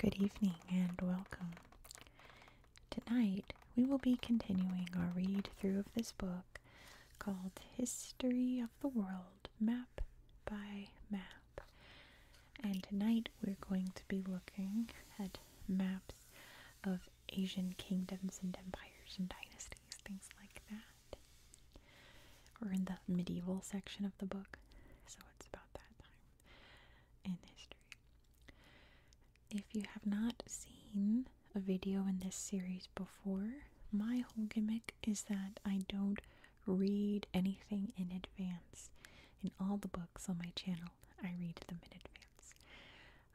Good evening and welcome. Tonight we will be continuing our read through of this book called History of the World Map by Map. And tonight we're going to be looking at maps of Asian kingdoms and empires and dynasties, things like that. We're in the medieval section of the book, so it's about that time in history. If you have not seen a video in this series before, my whole gimmick is that I don't read anything in advance. In all the books on my channel, I read them in advance.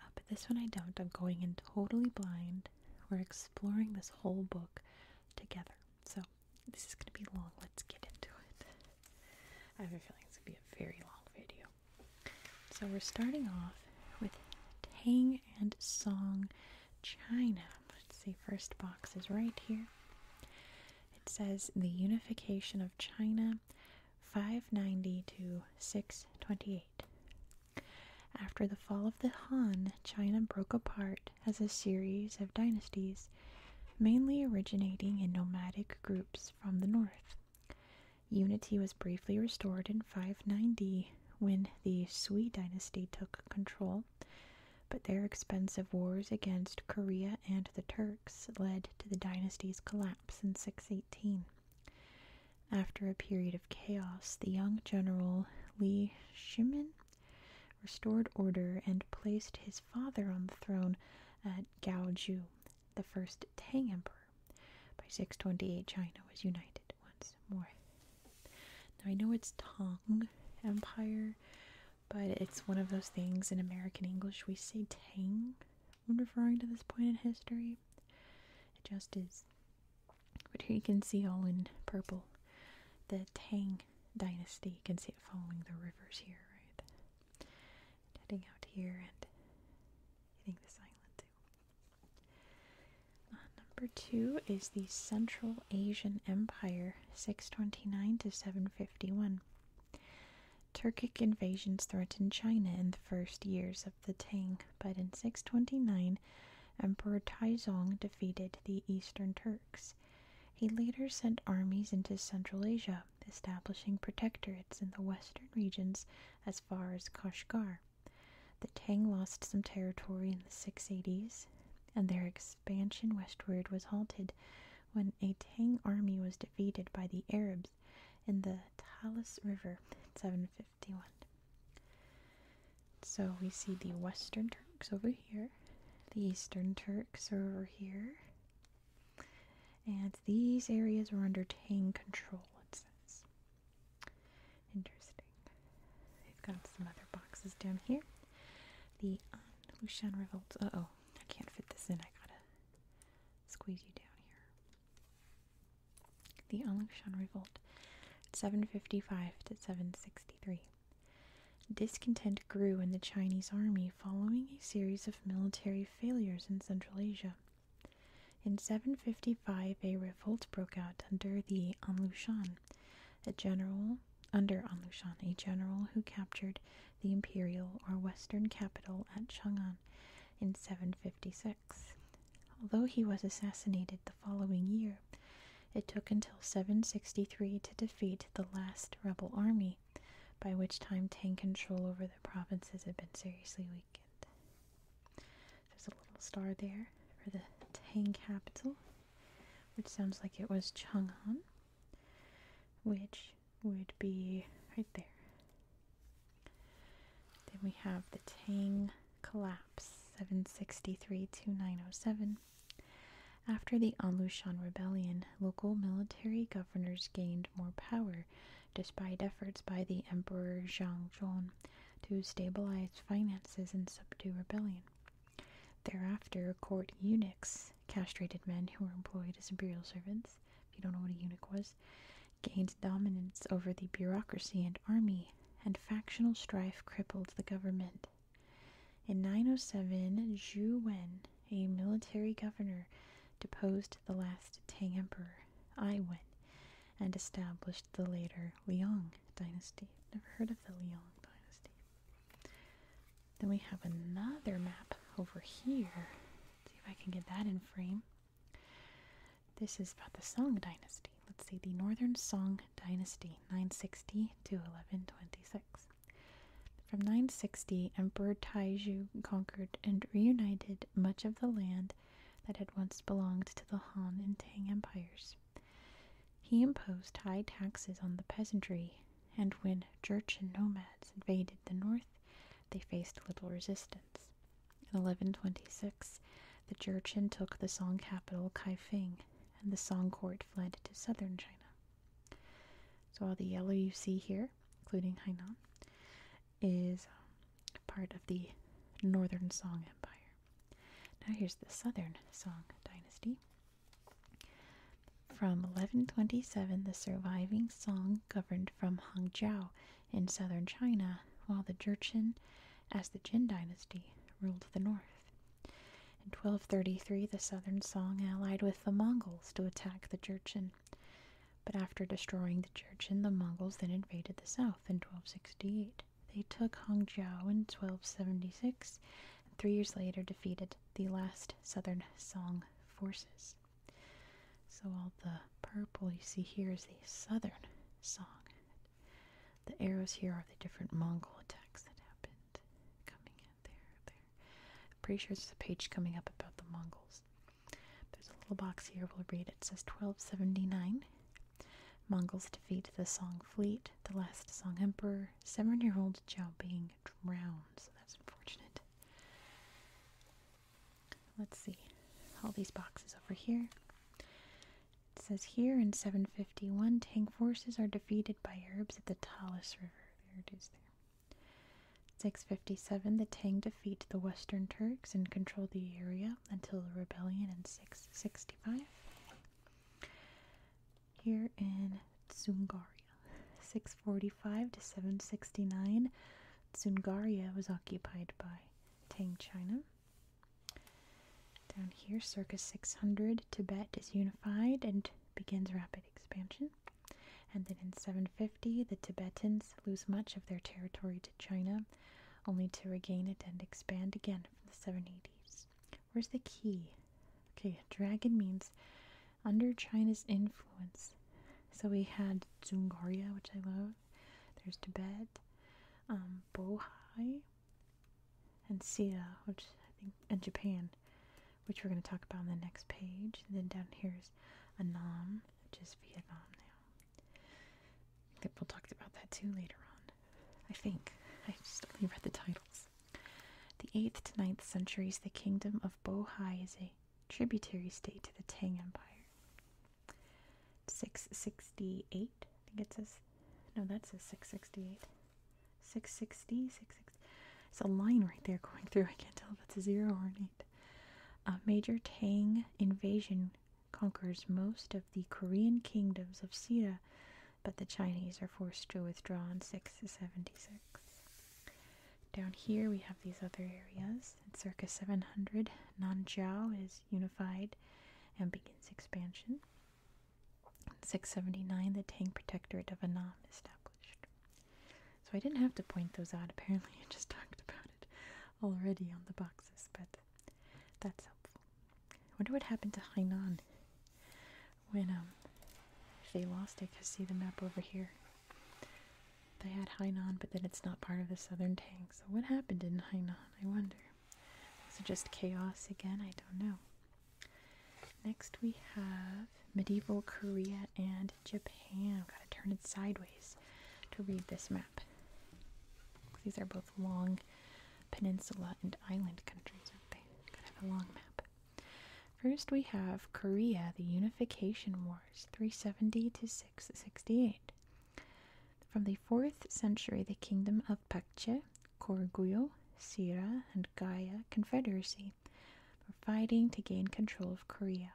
Uh, but this one I don't. I'm going in totally blind. We're exploring this whole book together. So this is going to be long. Let's get into it. I have a feeling it's going to be a very long video. So we're starting off with Tang and Song China. Let's see, first box is right here. It says the unification of China 590 to 628. After the fall of the Han, China broke apart as a series of dynasties, mainly originating in nomadic groups from the north. Unity was briefly restored in 590 when the Sui dynasty took control, but their expensive wars against Korea and the Turks led to the dynasty's collapse in 618. After a period of chaos, the young general Li Shimin restored order and placed his father on the throne at Gaoju, the first Tang emperor. By 628, China was united once more. Now I know it's Tang Empire, but it's one of those things in American English we say tang when referring to this point in history. It just is. But here you can see all in purple. The Tang dynasty. You can see it following the rivers here, right? heading out here and hitting this island too. Uh, number two is the Central Asian Empire, 629 to 751. Turkic invasions threatened China in the first years of the Tang, but in 629 Emperor Taizong defeated the Eastern Turks. He later sent armies into Central Asia, establishing protectorates in the western regions as far as Kashgar. The Tang lost some territory in the 680s, and their expansion westward was halted when a Tang army was defeated by the Arabs in the Talas River 751. So we see the Western Turks over here, the Eastern Turks are over here, and these areas were under Tang control, it says. Interesting. We've got some other boxes down here. The An Lushan Revolt. Uh oh, I can't fit this in. I gotta squeeze you down here. The Aungshan Revolt, 755 to 763. Discontent grew in the Chinese army following a series of military failures in Central Asia. In 755, a revolt broke out under the Anlushan, a general under Anlushan, a general who captured the imperial or western capital at Chang'an in 756. Although he was assassinated the following year, it took until 763 to defeat the last rebel army, by which time Tang control over the provinces had been seriously weakened. There's a little star there for the Tang capital, which sounds like it was Chang'an, which would be right there. Then we have the Tang collapse, 763 to 907. After the Anlushan rebellion, local military governors gained more power, despite efforts by the Emperor Zhang Zhong to stabilize finances and subdue rebellion. Thereafter, court eunuchs castrated men who were employed as imperial servants, if you don't know what a eunuch was, gained dominance over the bureaucracy and army, and factional strife crippled the government. In 907, Zhu Wen, a military governor, deposed the last Tang emperor, Ai Wen, and established the later Liang dynasty. Never heard of the Liang dynasty. Then we have another map over here. see if I can get that in frame. This is about the Song Dynasty. Let's see, the Northern Song Dynasty, 960 to 1126. From 960, Emperor Taizhu conquered and reunited much of the land that had once belonged to the Han and Tang empires. He imposed high taxes on the peasantry and when Jurchen nomads invaded the north, they faced little resistance. In 1126, the Jurchen took the Song capital Kaifeng, and the Song court fled to southern China. So all the yellow you see here, including Hainan, is um, part of the northern Song Empire. Now here's the southern Song dynasty. From 1127, the surviving Song governed from Hangzhou in southern China, while the Jurchen, as the Jin dynasty, ruled the north. In 1233, the southern Song allied with the Mongols to attack the Jurchen. But after destroying the Jurchen, the Mongols then invaded the south in 1268. They took Hangzhou in 1276 and three years later defeated the last Southern Song Forces. So, all the purple you see here is the Southern Song. The arrows here are the different Mongol attacks that happened coming in there, there. pretty sure there's a page coming up about the Mongols. There's a little box here we'll read. It says 1279. Mongols defeat the Song fleet. The last Song emperor, seven-year-old Zhao being drowned. So that's unfortunate. Let's see. All these boxes over here. It says here in 751, Tang forces are defeated by Arabs at the Talas River. There it is there. 657, the Tang defeat the Western Turks and control the area until the rebellion in 665. Here in Tsungaria. 645 to 769, Dzungaria was occupied by Tang China. Down here, circa 600, Tibet is unified and begins rapid expansion. And then in 750, the Tibetans lose much of their territory to China, only to regain it and expand again from the 780s. Where's the key? Okay, dragon means under China's influence. So we had Zungaria, which I love. There's Tibet, um, Bohai, and Silla, which I think, and Japan, which we're going to talk about on the next page. And then down here is Anam, which is Vietnam now. I think we'll talk about that too later on. I think. I just only read the titles. The 8th to ninth centuries, the kingdom of Bohai is a tributary state to the Tang Empire. 668, I think it says. No, that says 668. 660, 660. It's a line right there going through. I can't tell if it's a zero or an eight. A uh, major Tang invasion conquers most of the Korean kingdoms of Silla, but the Chinese are forced to withdraw in 676. Down here we have these other areas. At circa 700, Nanjiao is unified and begins expansion. In 679, the Tang Protectorate of Annam established. So I didn't have to point those out. Apparently, I just talked about it already on the boxes, but that's helpful. I wonder what happened to Hainan when um, they lost it. Cause see the map over here. They had Hainan, but then it's not part of the southern Tang. So what happened in Hainan? I wonder. Was it just chaos again? I don't know. Next we have medieval Korea and Japan. Gotta turn it sideways to read this map. These are both long peninsula and island countries, aren't they? Gotta have a long map. First, we have Korea, the Unification Wars, 370 to 668. From the 4th century, the kingdom of Pakche, Korguyo, Silla, and Gaya Confederacy were fighting to gain control of Korea.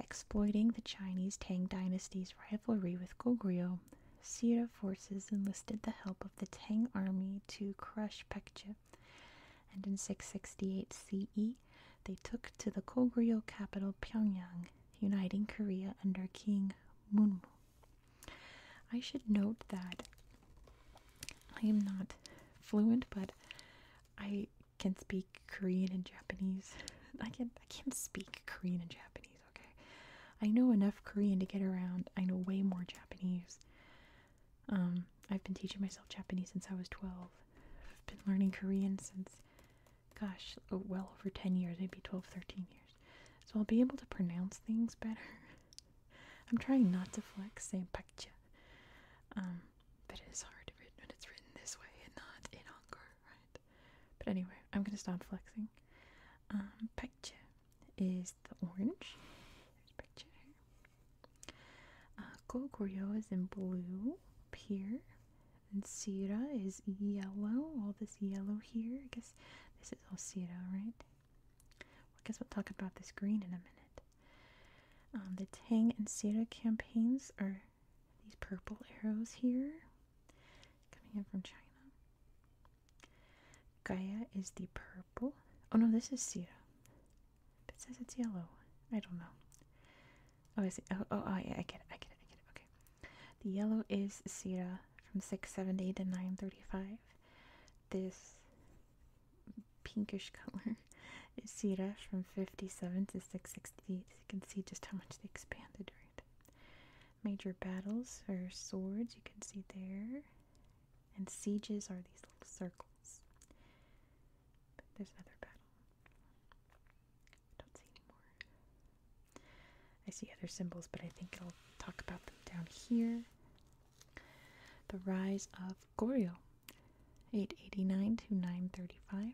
Exploiting the Chinese Tang dynasty's rivalry with Goguryeo, Silla forces enlisted the help of the Tang army to crush Pekche and in 668 CE, they took to the Koguryo capital Pyongyang, uniting Korea under King Munmu. I should note that I am not fluent, but I can speak Korean and Japanese. I can I can't speak Korean and Japanese, okay? I know enough Korean to get around. I know way more Japanese. Um, I've been teaching myself Japanese since I was 12. I've been learning Korean since, gosh, oh, well over 10 years, maybe 12, 13 years. So I'll be able to pronounce things better. I'm trying not to flex saying pakcha. Um, but it is hard when it's written this way and not in Hangul, right? But anyway, I'm going to stop flexing. Um, is the orange. There's pakcha uh, Goguryeo is in blue here, and Silla is yellow. All this yellow here. I guess this is all Silla, right? I guess we'll talk about this green in a minute. Um, the Tang and Silla campaigns are these purple arrows here, coming in from China. Gaia is the purple. Oh no, this is Silla. It says it's yellow. I don't know. Oh, I see. Oh, oh, oh yeah, I get it. I get it. I get it. Okay. The yellow is Sierra from 678 to 935. This pinkish color is Sierra from 57 to 668. You can see just how much they expanded during Major battles are swords. You can see there. And sieges are these little circles there's another battle. I don't see any I see other symbols, but I think I'll talk about them down here. The rise of Goryeo, 889 to 935.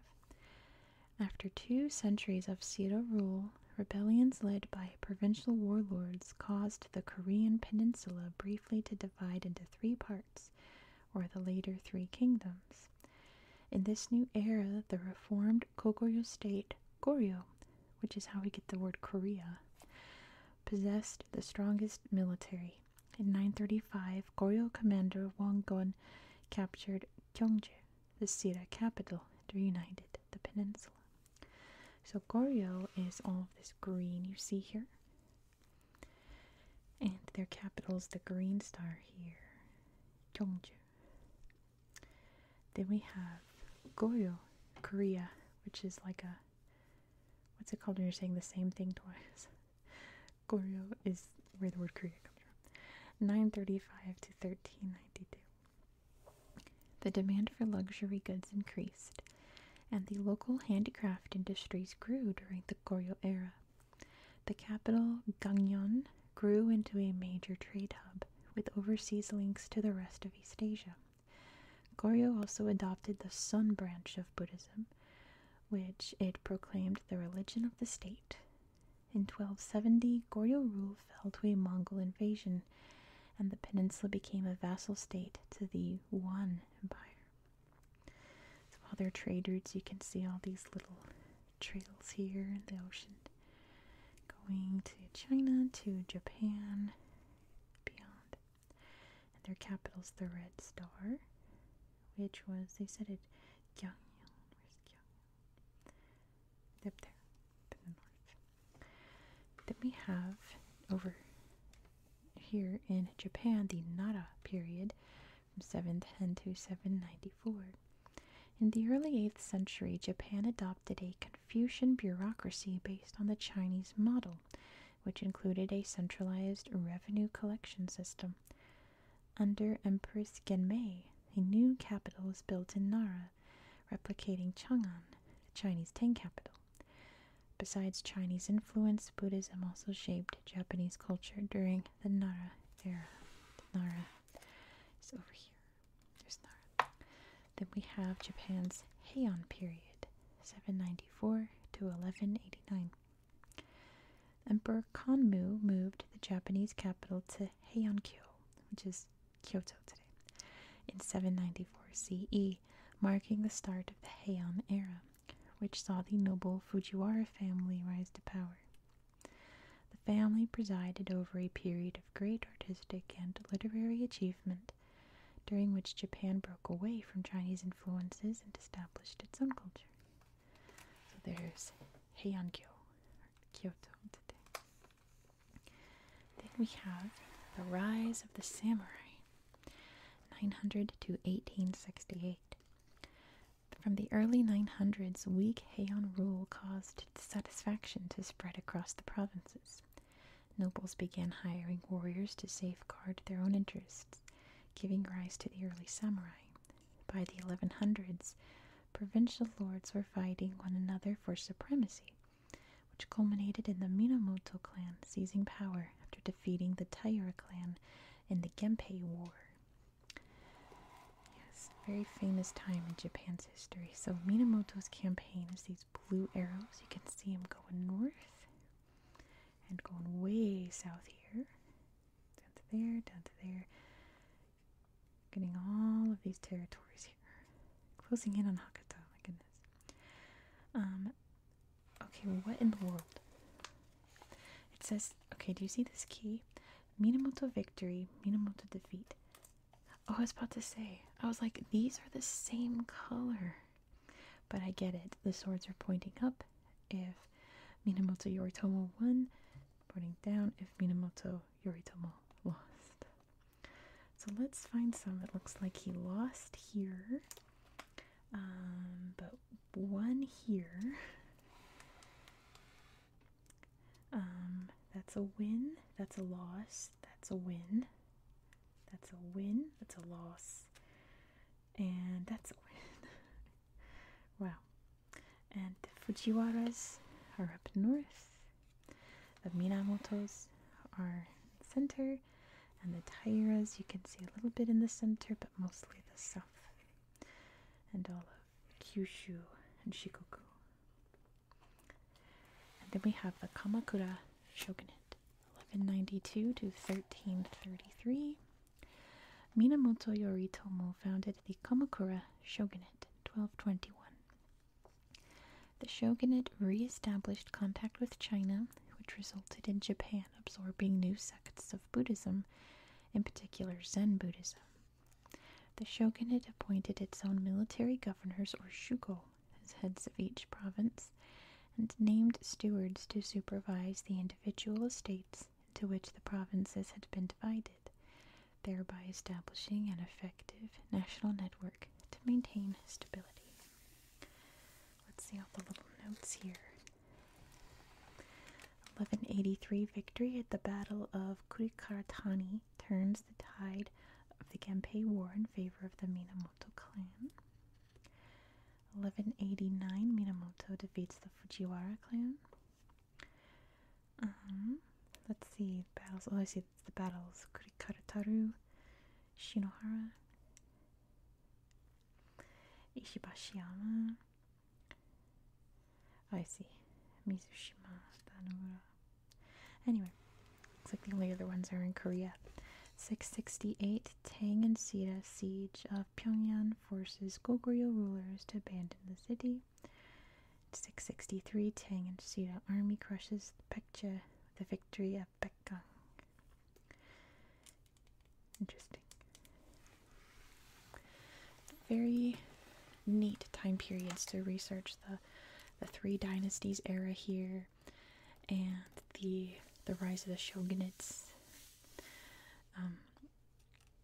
After two centuries of Sira rule, rebellions led by provincial warlords caused the Korean peninsula briefly to divide into three parts or the later Three Kingdoms. In this new era, the reformed Goguryeo state, Goryeo, which is how we get the word Korea, possessed the strongest military. In 935, Goryeo commander Wang Gon captured Gyeongju, the Sira capital, and reunited the peninsula. So Goryeo is all of this green you see here. And their capital is the green star here, Gyeongju. Then we have Goryeo, Korea, which is like a what's it called when you're saying the same thing twice? Goryeo is where the word Korea comes from. 935 to 1392. The demand for luxury goods increased, and the local handicraft industries grew during the Goryeo era. The capital, Gangneung, grew into a major trade hub with overseas links to the rest of East Asia. Goryeo also adopted the Sun branch of Buddhism, which it proclaimed the religion of the state. In 1270, Goryeo rule fell to a Mongol invasion, and the peninsula became a vassal state to the Yuan Empire. So while they're trade routes, you can see all these little trails here in the ocean going to China, to Japan, beyond. And their capital's the Red Star, which was, they said it, Gyeongyang. Where's Gyeongyang? Up there, up in the north. Then we have over here in Japan the Nara period, 710 to 794. In the early 8th century, Japan adopted a Confucian bureaucracy based on the Chinese model, which included a centralized revenue collection system. Under Empress Genmei, a new capital was built in Nara, replicating Chang'an, the Chinese Tang capital. Besides Chinese influence, Buddhism also shaped Japanese culture during the Nara era. Nara is over here. There's Nara. Then we have Japan's Heian period, 794 to 1189. Emperor Kanmu moved the Japanese capital to Heiankyo, which is Kyoto today, in 794 CE, marking the start of the Heian era which saw the noble Fujiwara family rise to power. The family presided over a period of great artistic and literary achievement, during which Japan broke away from Chinese influences and established its own culture. So there's Heian-kyo, Kyoto today. Then we have the rise of the samurai, 900 to 1868. From the early 900s, weak Heian rule caused dissatisfaction to spread across the provinces. Nobles began hiring warriors to safeguard their own interests, giving rise to the early samurai. By the 1100s, provincial lords were fighting one another for supremacy, which culminated in the Minamoto clan seizing power after defeating the Taira clan in the Genpei War. Yes, very famous time in Japan's history. So Minamoto's campaign is these blue arrows. You can see him going north and going way south here. Down to there, down to there. Getting all of these territories here. Closing in on Hakata, my goodness. Um, Okay, what in the world? It says, okay, do you see this key? Minamoto victory, Minamoto defeat. Oh, I was about to say, I was like, these are the same color. But I get it. The swords are pointing up. If Minamoto Yoritomo won, pointing down if Minamoto Yoritomo lost. So let's find some. It looks like he lost here. Um, but one here. Um, that's a win, that's a loss, that's a win, that's a win, that's a loss, and that's a win. wow. And the Fujiwaras are up north, the Minamotos are in center, and the Tairas you can see a little bit in the center, but mostly the south and all of Kyushu and Shikoku. And then we have the Kamakura shogunate, 1192 to 1333. Minamoto Yoritomo founded the Kamakura shogunate 1221. The shogunate re established contact with China, which resulted in Japan absorbing new sects of Buddhism, in particular Zen Buddhism. The shogunate appointed its own military governors or shugo as heads of each province and named stewards to supervise the individual estates into which the provinces had been divided, thereby establishing an effective national network to maintain stability. Let's see all the little notes here. 1183 victory at the Battle of Kurikaratani turns the tide of the Genpei War in favor of the Minamoto clan. 1189 Minamoto defeats the Fujiwara clan. Um, let's see battles. Oh, I see it's the battles Kurikarataru, Shinohara, Ishibashiama. Oh, I see. Mizushima, Danamura. Anyway, looks like the only other ones are in Korea. 668 Tang and Sita siege of Pyongyang forces Goguryeo rulers to abandon the city. 663 Tang and Sita army crushes the Pekche with the victory of Baekgang. Interesting. Very neat time periods to research the the Three Dynasties era here, and the the rise of the shogunates. Um,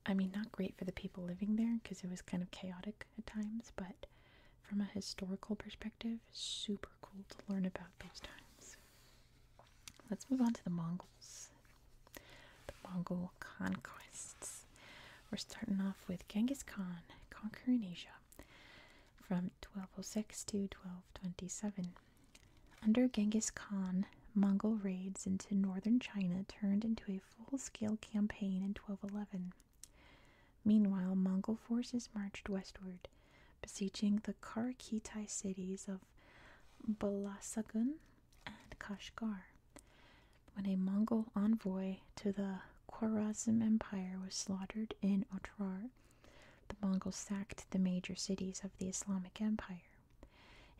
I mean, not great for the people living there because it was kind of chaotic at times, but from a historical perspective, super cool to learn about those times. Let's move on to the Mongols. The Mongol conquests. We're starting off with Genghis Khan conquering Asia from 1206 to 1227. Under Genghis Khan, Mongol raids into northern China turned into a full scale campaign in 1211. Meanwhile, Mongol forces marched westward, besieging the Karakitai cities of Balasagun and Kashgar when a Mongol envoy to the Khwarazm Empire was slaughtered in Otrar. The Mongols sacked the major cities of the Islamic Empire.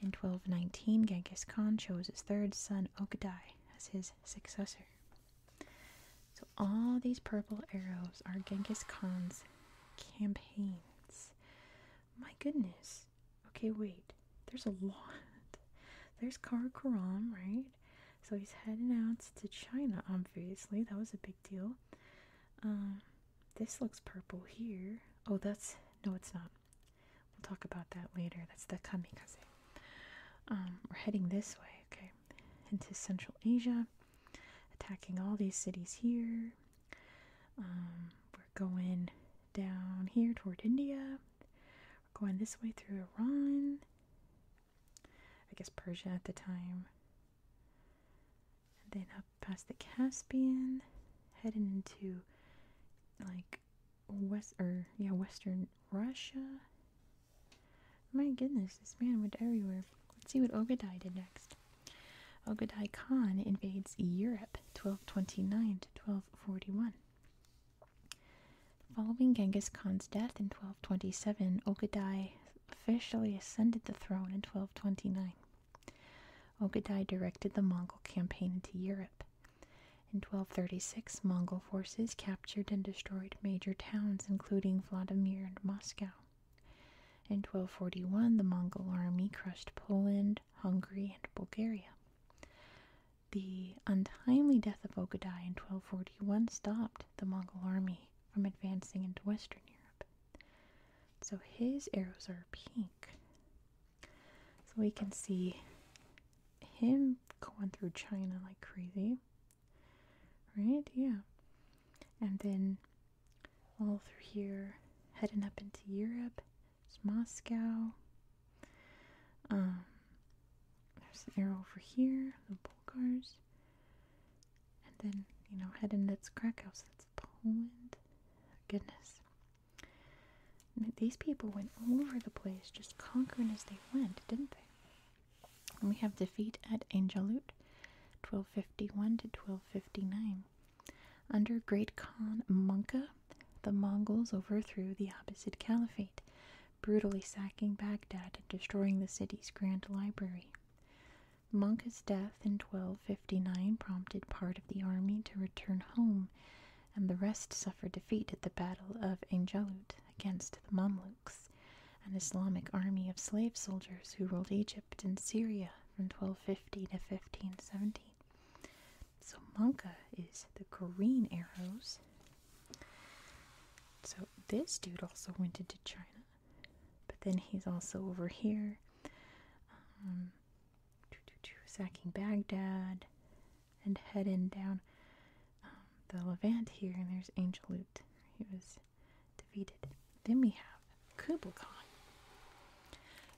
In 1219, Genghis Khan chose his third son Ogdai as his successor. So, all these purple arrows are Genghis Khan's campaigns. My goodness. Okay, wait. There's a lot. There's Karakoram, right? So he's heading out to China, obviously. That was a big deal. Um, this looks purple here. Oh, that's no, it's not. We'll talk about that later. That's the kamikaze. Um, we're heading this way, okay, into Central Asia, attacking all these cities here. Um, we're going down here toward India. We're going this way through Iran. I guess Persia at the time. And then up past the Caspian, heading into like west or yeah, western Russia. My goodness, this man went everywhere. Let's see what Obadiah did next. Ogadai Khan invades Europe 1229 to 1241. Following Genghis Khan's death in 1227, Ogadai officially ascended the throne in 1229. Ogadai directed the Mongol campaign into Europe. In 1236, Mongol forces captured and destroyed major towns, including Vladimir and Moscow. In 1241, the Mongol army crushed Poland, Hungary, and Bulgaria. The untimely death of Ogadai in 1241 stopped the Mongol army from advancing into Western Europe. So his arrows are pink. So we can see him going through China like crazy. Right? Yeah. And then all through here, heading up into Europe, it's Moscow. Um, there's an arrow over here, the Bulgars. And then, you know, heading that's Krakow, so that's Poland. Goodness. these people went over the place, just conquering as they went, didn't they? And we have defeat at Angelut, 1251 to 1259. Under Great Khan Manca, the Mongols overthrew the Abbasid Caliphate, brutally sacking Baghdad and destroying the city's grand library. Manca's death in 1259 prompted part of the army to return home, and the rest suffered defeat at the Battle of Angelut against the Mamluks, an Islamic army of slave soldiers who ruled Egypt and Syria from 1250 to 1517. So Monka is the green arrows. So this dude also went into China, but then he's also over here, um, sacking Baghdad and heading down um, the Levant here. And there's Angel Loot. He was defeated. Then we have Kublai Khan.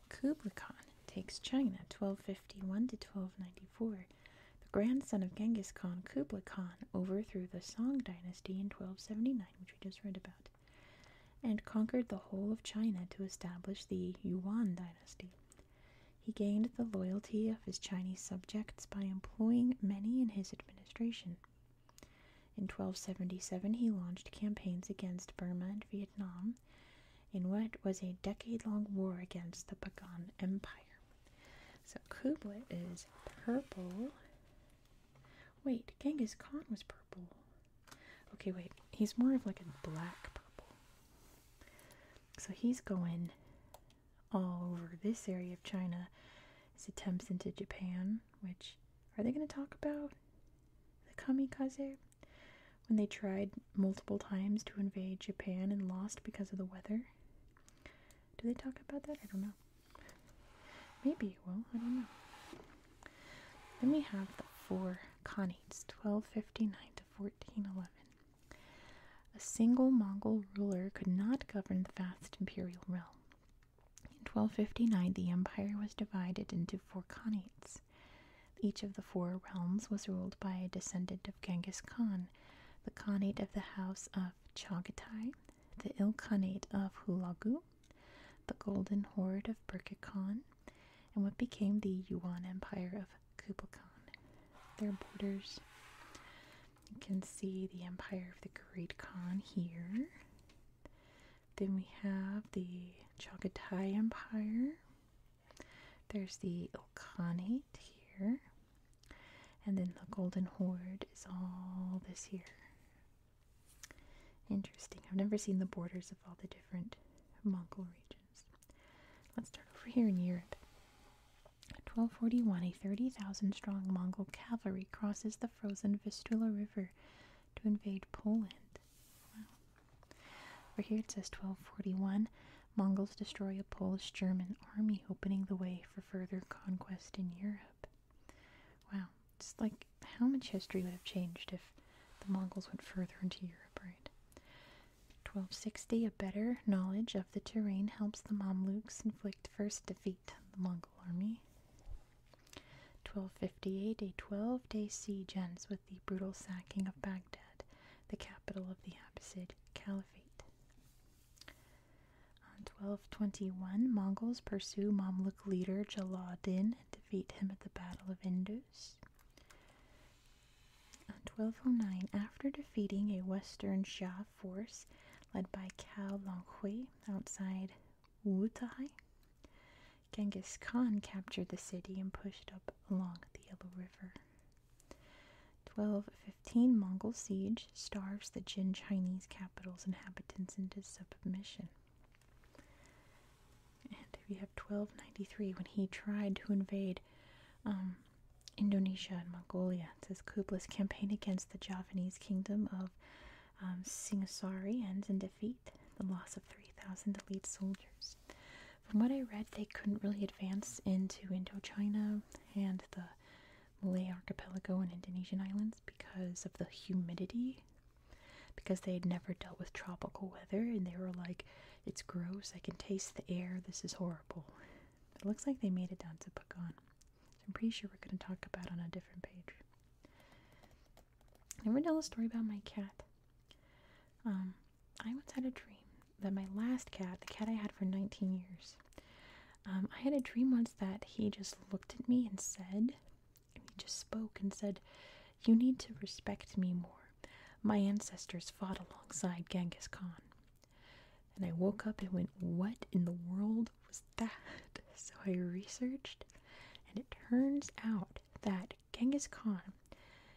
Kublai Khan takes China 1251 to 1294. The grandson of Genghis Khan, Kublai Khan, overthrew the Song dynasty in 1279, which we just read about, and conquered the whole of China to establish the Yuan dynasty. He gained the loyalty of his Chinese subjects by employing many in his administration. In 1277, he launched campaigns against Burma and Vietnam, in what was a decade long war against the Pagan Empire. So Kubla is purple. Wait, Genghis Khan was purple. Okay, wait, he's more of like a black purple. So he's going all over this area of China. His attempts into Japan, which are they going to talk about? the kamikaze, when they tried multiple times to invade Japan and lost because of the weather. Do they talk about that? I don't know. Maybe well, I don't know. Then we have the four khanates, 1259 to 1411. A single Mongol ruler could not govern the vast imperial realm. In 1259, the empire was divided into four khanates. Each of the four realms was ruled by a descendant of Genghis Khan, the Khanate of the House of Chagatai, the Ilkhanate of Hulagu, the Golden Horde of Birka Khan, and what became the Yuan Empire of Kublai Khan. Their borders. You can see the empire of the Great Khan here. Then we have the Chagatai Empire. There's the Ilkhanate here. And then the Golden Horde is all this here. Interesting. I've never seen the borders of all the different Mongol regions. Let's start over here in Europe. 1241, a 30,000 strong Mongol cavalry crosses the frozen Vistula River to invade Poland. Over here it says 1241 Mongols destroy a Polish German army, opening the way for further conquest in Europe. Wow, it's like how much history would have changed if the Mongols went further into Europe, right? 1260 A better knowledge of the terrain helps the Mamluks inflict first defeat on the Mongol army. 1258 A 12 day siege ends with the brutal sacking of Baghdad, the capital of the Abbasid Caliphate. On 1221, Mongols pursue Mamluk leader Jalauddin and defeat him at the Battle of Indus. On 1209, after defeating a western Shah force led by Cao Longhui outside Wutai, Genghis Khan captured the city and pushed up along the Yellow River. 1215 Mongol siege starves the Jin Chinese capital's inhabitants into submission. And we have 1293 when he tried to invade um, Indonesia and Mongolia. It says Kublai's campaign against the Javanese kingdom of um, Singasari ends in defeat, the loss of 3,000 elite soldiers. From what I read, they couldn't really advance into Indochina and the Malay archipelago and Indonesian islands because of the humidity. Because they had never dealt with tropical weather and they were like, it's gross, I can taste the air, this is horrible. It looks like they made it down to Pagan. I'm pretty sure we're going to talk about on a different page. I never tell a story about my cat. Um, I once had a dream that my last cat, the cat I had for 19 years, um, I had a dream once that he just looked at me and said, he just spoke and said, You need to respect me more. My ancestors fought alongside Genghis Khan. And I woke up and went, What in the world was that? So I researched, and it turns out that Genghis Khan.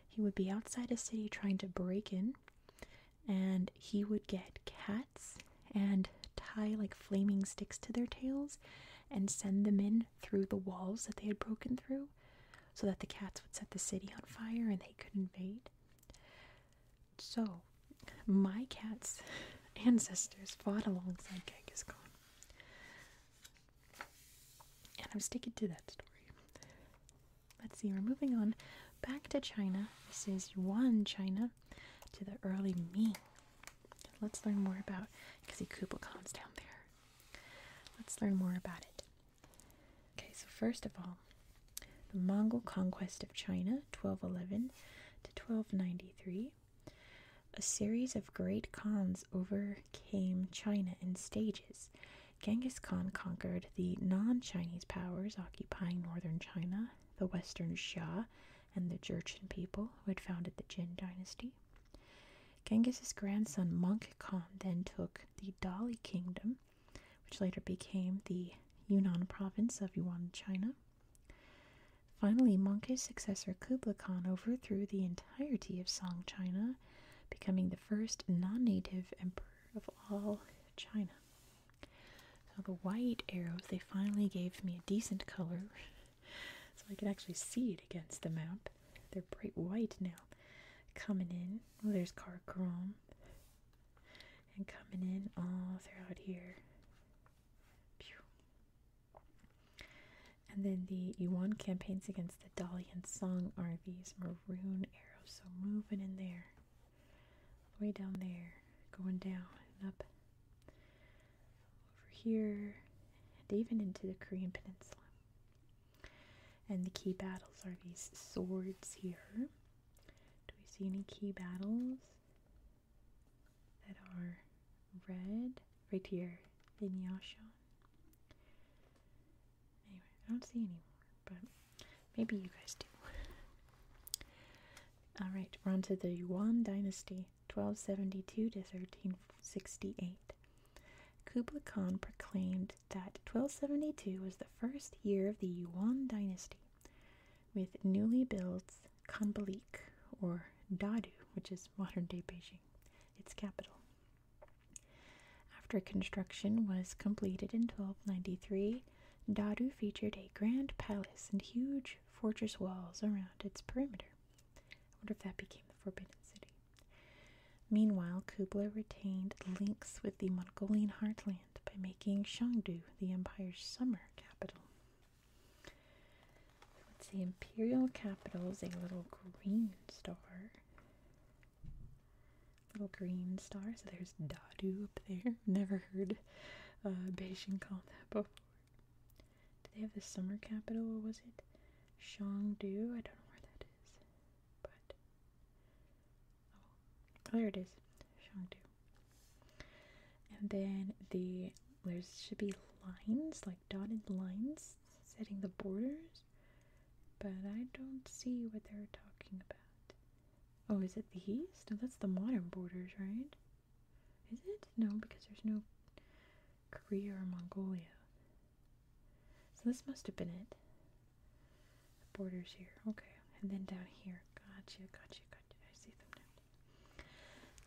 He would be outside a city trying to break in, and he would get cats and tie like flaming sticks to their tails and send them in through the walls that they had broken through so that the cats would set the city on fire and they could invade. So, my cat's ancestors fought alongside Genghis Khan. And I'm sticking to that story. Let's see, we're moving on back to China. This is Yuan China to the early Ming. Let's learn more about, because see Kublai Khan's down there. Let's learn more about it. Okay, so first of all, the Mongol conquest of China, 1211 to 1293. A series of great khans overcame China in stages, Genghis Khan conquered the non Chinese powers occupying northern China, the Western Xia, and the Jurchen people who had founded the Jin dynasty. Genghis's grandson Monk Khan then took the Dali kingdom, which later became the Yunnan province of Yuan, China. Finally, Monki's successor Kublai Khan overthrew the entirety of Song China becoming the first non-native emperor of all China. So the white arrows, they finally gave me a decent color so I could actually see it against the map. They're bright white now. Coming in, well oh, there's Carcrom. And coming in all oh, throughout here. Pew. And then the Yuan campaigns against the Dalian Song are these maroon arrows. So moving in there. All the way down there. Going down and up. Over here. And even into the Korean Peninsula. And the key battles are these swords here. Do we see any key battles that are red? Right here, in Vinyashan. Anyway, I don't see anyone, but maybe you guys do. Alright, we're on to the Yuan Dynasty, 1272 to 1368. Kublai Khan proclaimed that 1272 was the first year of the Yuan Dynasty, with newly built Kanbalik, or Dadu, which is modern day Beijing, its capital. After construction was completed in 1293, Dadu featured a grand palace and huge fortress walls around its perimeter. I wonder if that became the Forbidden City. Meanwhile, Kublai retained links with the Mongolian heartland by making Shangdu the empire's summer capital. Let's see, imperial capital is a little green star. Little green star. So there's Dadu up there. Never heard uh, Beijing called that before. Did they have the summer capital? What was it? Shangdu? I don't know where that is. But. Oh, there it is. Shangdu. And then the there should be lines, like dotted lines, setting the borders but I don't see what they're talking about. Oh, is it the east? No, that's the modern borders, right? Is it? No, because there's no Korea or Mongolia. So this must have been it. borders here. Okay. And then down here. Gotcha, gotcha, gotcha. I see them now.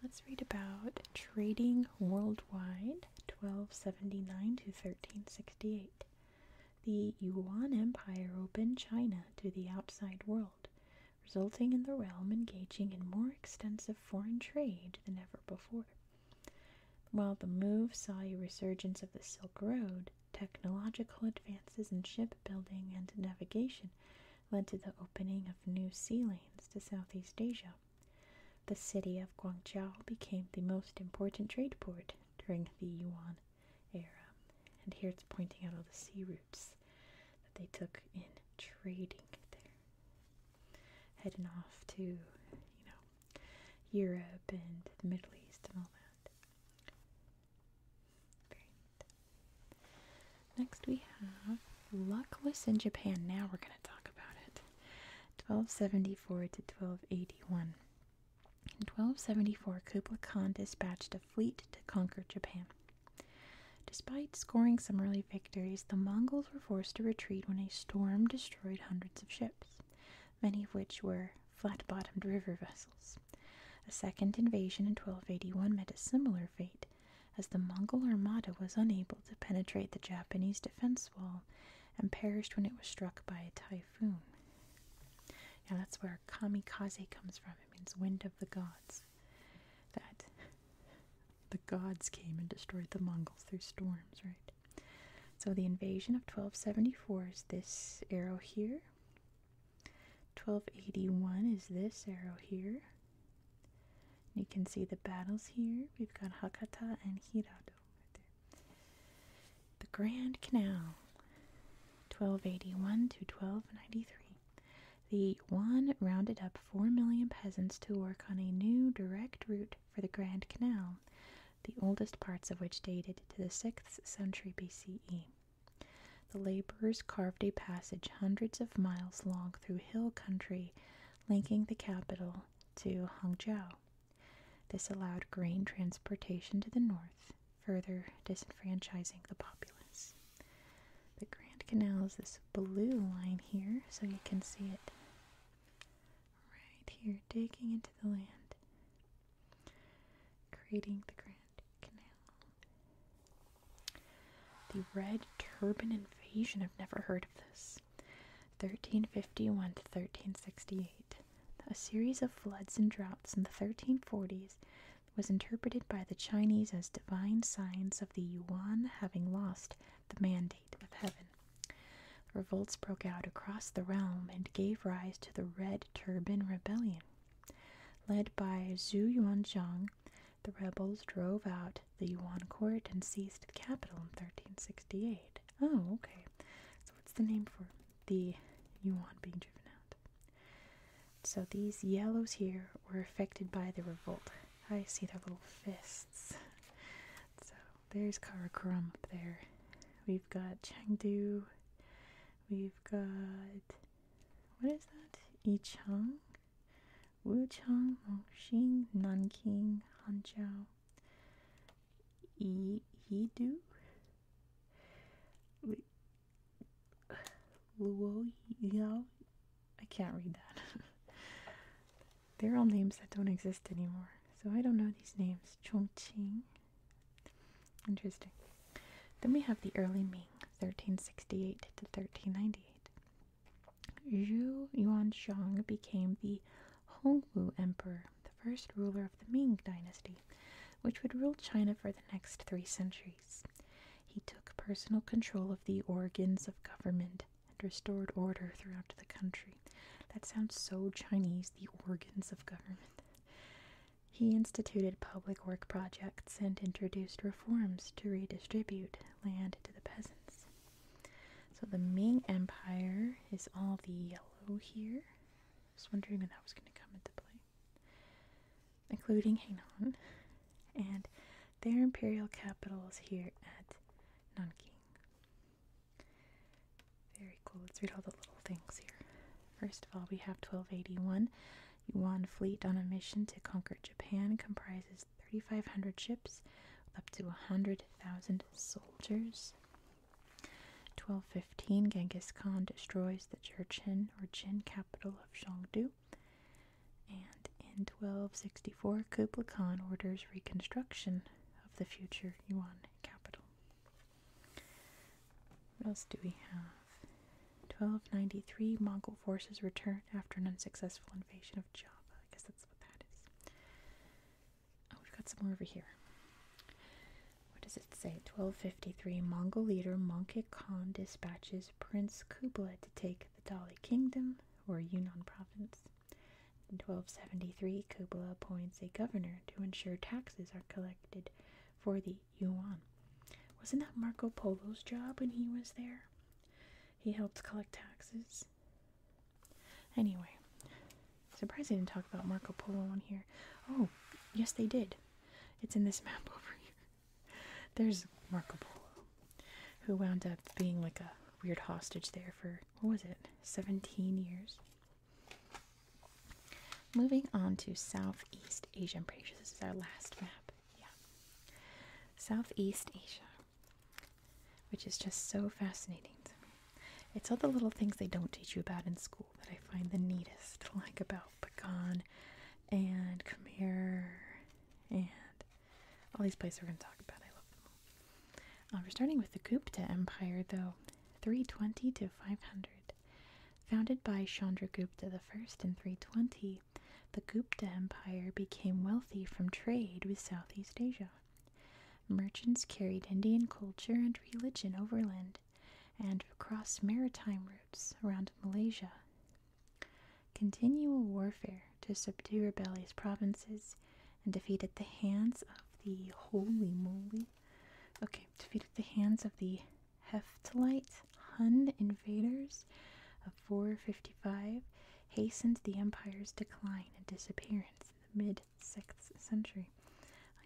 Let's read about trading world worldwide 1279 to 1368. The Yuan Empire opened China to the outside world, resulting in the realm engaging in more extensive foreign trade than ever before. While the move saw a resurgence of the Silk Road, technological advances in shipbuilding and navigation led to the opening of new sea lanes to Southeast Asia. The city of Guangzhou became the most important trade port during the Yuan era. And here it's pointing out all the sea routes that they took in trading there. Heading off to, you know, Europe and the Middle East and all that. Next we have Luckless in Japan. Now we're going to talk about it. 1274 to 1281. In 1274, Kublai Khan dispatched a fleet to conquer Japan. Despite scoring some early victories, the Mongols were forced to retreat when a storm destroyed hundreds of ships, many of which were flat bottomed river vessels. A second invasion in 1281 met a similar fate, as the Mongol armada was unable to penetrate the Japanese defense wall and perished when it was struck by a typhoon. Now that's where kamikaze comes from. It means wind of the gods. That the gods came and destroyed the Mongols through storms, right? So the invasion of 1274 is this arrow here. 1281 is this arrow here. You can see the battles here. We've got Hakata and Hirado. The Grand Canal, 1281 to 1293. The Yuan rounded up four million peasants to work on a new direct route for the Grand Canal, the oldest parts of which dated to the 6th century BCE. The laborers carved a passage hundreds of miles long through hill country, linking the capital to Hangzhou. This allowed grain transportation to the north, further disenfranchising the populace. The Grand Canal is this blue line here, so you can see it right here, digging into the land, creating the Grand Canal. The Red Turban Invasion, I've never heard of this. 1351 to 1368. A series of floods and droughts in the 1340s was interpreted by the Chinese as divine signs of the Yuan having lost the mandate of heaven. Revolts broke out across the realm and gave rise to the Red Turban Rebellion. Led by Zhu Yuanzhang, the rebels drove out the Yuan court and seized the capital in 1368. Oh, okay. What's the name for the yuan being driven out. So these yellows here were affected by the revolt. I see their little fists. So there's Karakoram up there. We've got Chengdu. We've got what is that? Yichang, Wuchang, Mongxing, Nanking, Hanzhou. E he do Luo I can't read that. They're all names that don't exist anymore. So I don't know these names. Chongqing. Interesting. Then we have the early Ming, 1368 to 1398. Zhu Yuanzhang became the Hongwu Emperor, the first ruler of the Ming Dynasty, which would rule China for the next three centuries. He took personal control of the organs of government and restored order throughout the country. That sounds so Chinese, the organs of government. He instituted public work projects and introduced reforms to redistribute land to the peasants. So the Ming Empire is all the yellow here. I was wondering when that was going to come into play, including Hainan, and their imperial capital is here at Nanking. Very cool. Let's read all the little things here. First of all, we have 1281. Yuan fleet on a mission to conquer Japan comprises 3,500 ships with up to 100,000 soldiers. 1215, Genghis Khan destroys the Jurchen or Jin capital of Chengdu. And in 1264, Kublai Khan orders reconstruction of the future Yuan capital. What else do we have? 1293, Mongol forces return after an unsuccessful invasion of Java. I guess that's what that is. Oh, we've got some more over here. What does it say? 1253 Mongol leader Mongke Khan dispatches Prince Kublai to take the Dali Kingdom or Yunnan province. 1273, Kublai appoints a governor to ensure taxes are collected for the Yuan. Wasn't that Marco Polo's job when he was there? He helped collect taxes. Anyway, surprised they didn't talk about Marco Polo on here. Oh, yes, they did. It's in this map over here. There's Marco Polo, who wound up being like a weird hostage there for, what was it, 17 years? Moving on to Southeast Asia. i this is our last map. Yeah. Southeast Asia, which is just so fascinating it's all the little things they don't teach you about in school that I find the neatest, like about pecan and Khmer and all these places we're going to talk about. I love them all. Um, we're starting with the Gupta Empire, though, 320 to 500. Founded by Chandragupta I in 320, the Gupta Empire became wealthy from trade with Southeast Asia. Merchants carried Indian culture and religion overland and across maritime routes around Malaysia. Continual warfare to subdue rebellious provinces and defeat at the hands of the holy moly. Okay, defeat at the hands of the Heftalite Hun invaders of 455 hastened the empire's decline and disappearance mid sixth century.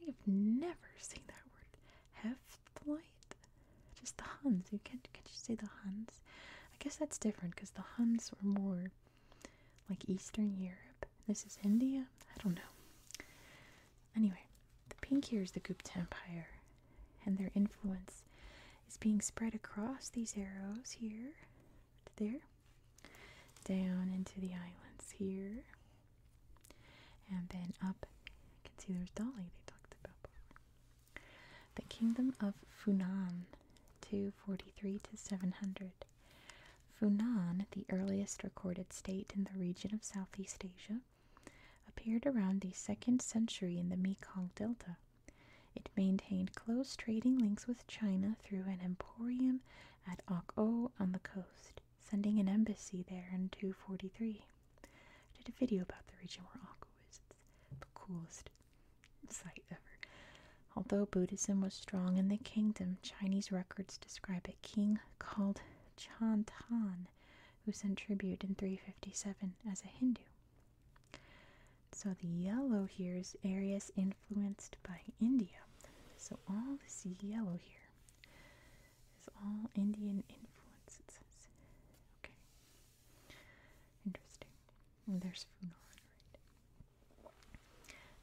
I have never seen that word. Heftlight? Just the Huns. You can't can't you say the Huns? I guess that's different because the Huns were more like Eastern Europe. This is India? I don't know. Anyway, the pink here is the Gupta Empire and their influence is being spread across these arrows here there down into the islands here, and then up. You can see there's Dolly they talked about before. The Kingdom of Funan, 243 to 700. Funan, the earliest recorded state in the region of Southeast Asia, appeared around the 2nd century in the Mekong Delta. It maintained close trading links with China through an emporium at Ok on the coast sending an embassy there in 243. I did a video about the region where Akko is. It's the coolest site ever. Although Buddhism was strong in the kingdom, Chinese records describe a king called Chantan who sent tribute in 357 as a Hindu. So the yellow here is areas influenced by India. So all this yellow here it's all Indian influence, it says. Okay. Interesting. there's Funan, right?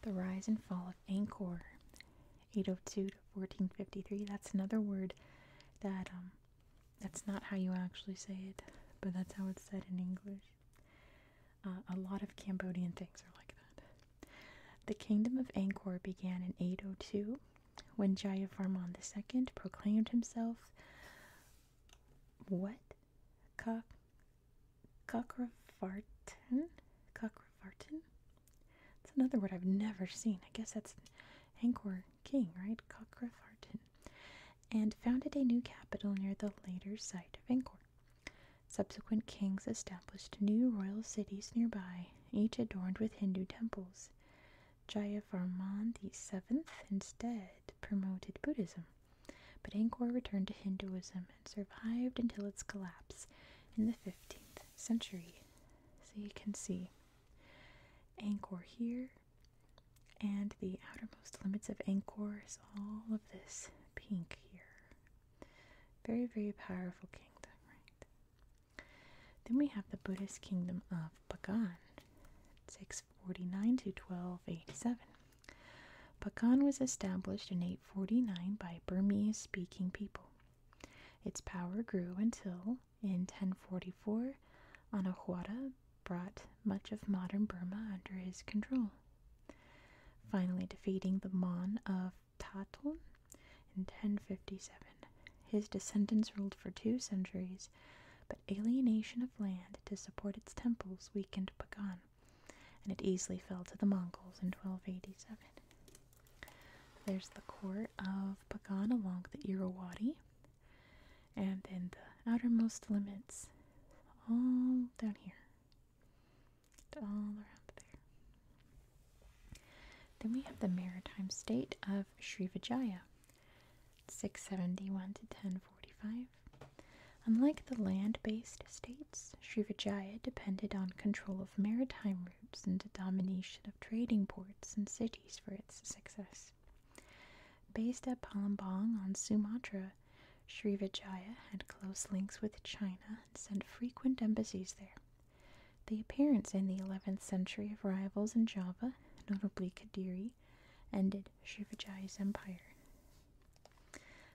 The rise and fall of Angkor, 802 to 1453. That's another word that, um, that's not how you actually say it, but that's how it's said in English. Uh, a lot of Cambodian things are like that. The kingdom of Angkor began in 802 when Jayavarman II proclaimed himself what? Kak Kakravartin? Kakravartin? That's another word I've never seen. I guess that's Angkor king, right? Kakravartin. And founded a new capital near the later site of Angkor. Subsequent kings established new royal cities nearby, each adorned with Hindu temples. Jayavarman VII instead promoted Buddhism, but Angkor returned to Hinduism and survived until its collapse in the 15th century. So you can see Angkor here, and the outermost limits of Angkor is all of this pink here. Very, very powerful kingdom, right? Then we have the Buddhist kingdom of Pagan, 649 to 1287. Pagan was established in 849 by Burmese speaking people. Its power grew until, in 1044, Anahuara brought much of modern Burma under his control. Finally, defeating the Mon of Tatun in 1057. His descendants ruled for two centuries, but alienation of land to support its temples weakened Pagan, and it easily fell to the Mongols in 1287. There's the court of Pagan along the Irrawaddy, and then the outermost limits all down here all around there. Then we have the maritime state of Srivijaya, 671 to 1045. Unlike the land-based states, Srivijaya depended on control of maritime routes and the domination of trading ports and cities for its success. Based at Palembang on Sumatra, Srivijaya had close links with China and sent frequent embassies there. The appearance in the 11th century of rivals in Java, notably Kadiri, ended Shivaji's empire.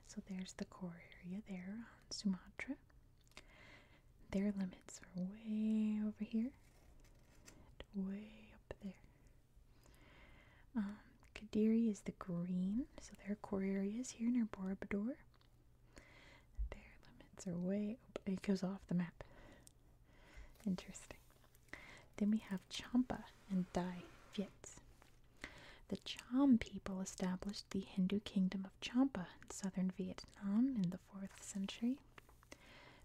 So there's the core area there on Sumatra. Their limits are way over here and way up there. Um, Kadiri is the green, so their core areas here near Borobudur. Their limits are way It goes off the map. Interesting. Then we have Champa and Dai Viet. The Cham people established the Hindu kingdom of Champa in southern Vietnam in the 4th century.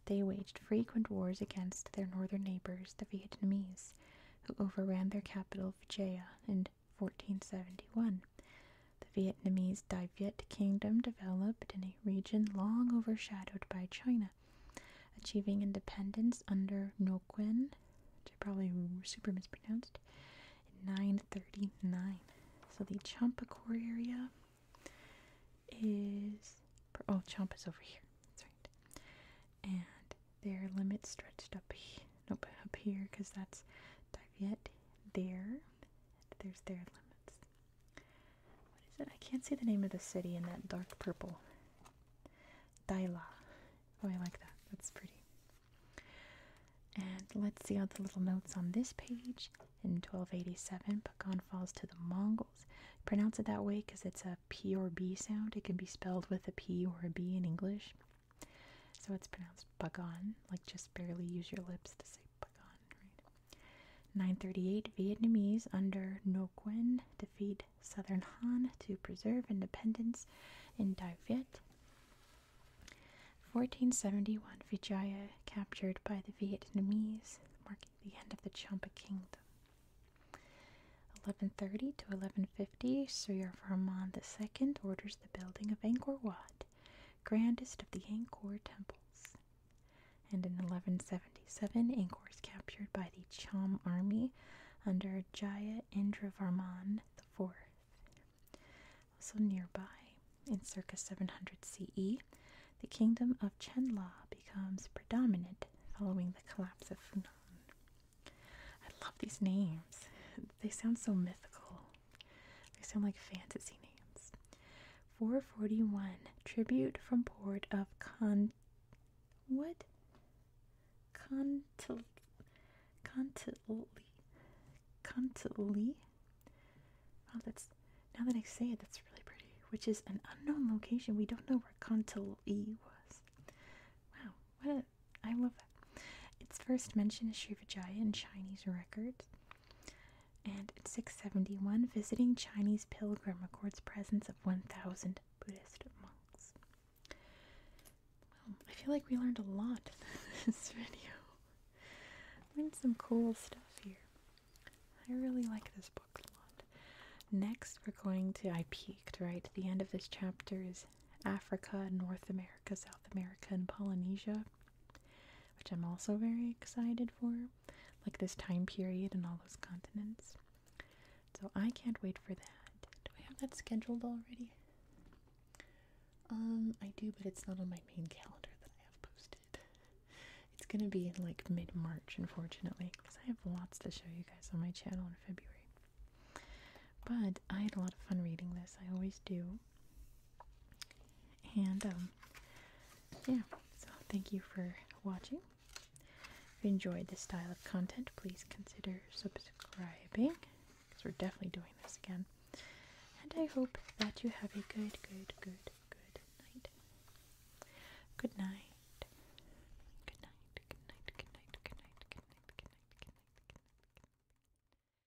They waged frequent wars against their northern neighbors, the Vietnamese, who overran their capital Vijaya and. 1471. The Vietnamese Dai Viet Kingdom developed in a region long overshadowed by China, achieving independence under Nguyen, which I probably super mispronounced, 939. So the Champa core area is oh Champa is over here. That's right. And their limits stretched up here. Nope, up here, because that's yet, there. there's their limits. What is it? I can't see the name of the city in that dark purple. Dila. Oh, I like that. That's pretty. And let's see all the little notes on this page. In 1287, Pakan falls to the Mongols. Pronounce it that way because it's a P or B sound. It can be spelled with a P or a B in English. So it's pronounced "bugon," like just barely use your lips to say "bugon." 938 Vietnamese under No Quyen defeat Southern Han to preserve independence in Dai Viet. 1471 Vijaya captured by the Vietnamese, marking the end of the Champa kingdom. 1130 to 1150, Sri Varman II orders the building of Angkor Wat grandest of the Angkor temples. And in 1177, Angkor is captured by the Cham army under Jaya Indravarman IV. Also nearby, in circa 700 CE, the kingdom of Chenla becomes predominant following the collapse of Funan. I love these names. They sound so mythical. They sound like fantasy names. 441 Tribute from Port of Con. What? Contil. Contili. Contili? Oh, that's. Now that I say it, that's really pretty. Which is an unknown location. We don't know where Contili was. Wow. What a. I love its first mention is Srivijaya in Chinese records, and in 671, visiting Chinese pilgrim records presence of 1,000 Buddhist monks. I feel like we learned a lot in this video. Learned some cool stuff here. I really like this book a lot. Next, we're going to, I peeked, right? The end of this chapter is Africa, North America, South America, and Polynesia which I'm also very excited for, like this time period and all those continents. So I can't wait for that. Do I have that scheduled already? Um, I do, but it's not on my main calendar that I have posted. It's gonna be like mid March, unfortunately, because I have lots to show you guys on my channel in February. But I had a lot of fun reading this, I always do. And um, yeah, so thank you for watching. If you enjoyed this style of content, please consider subscribing because we're definitely doing this again. And I hope that you have a good, good, good, good night. Good night. Good night, good night, good night, good night, good night, good night, good night.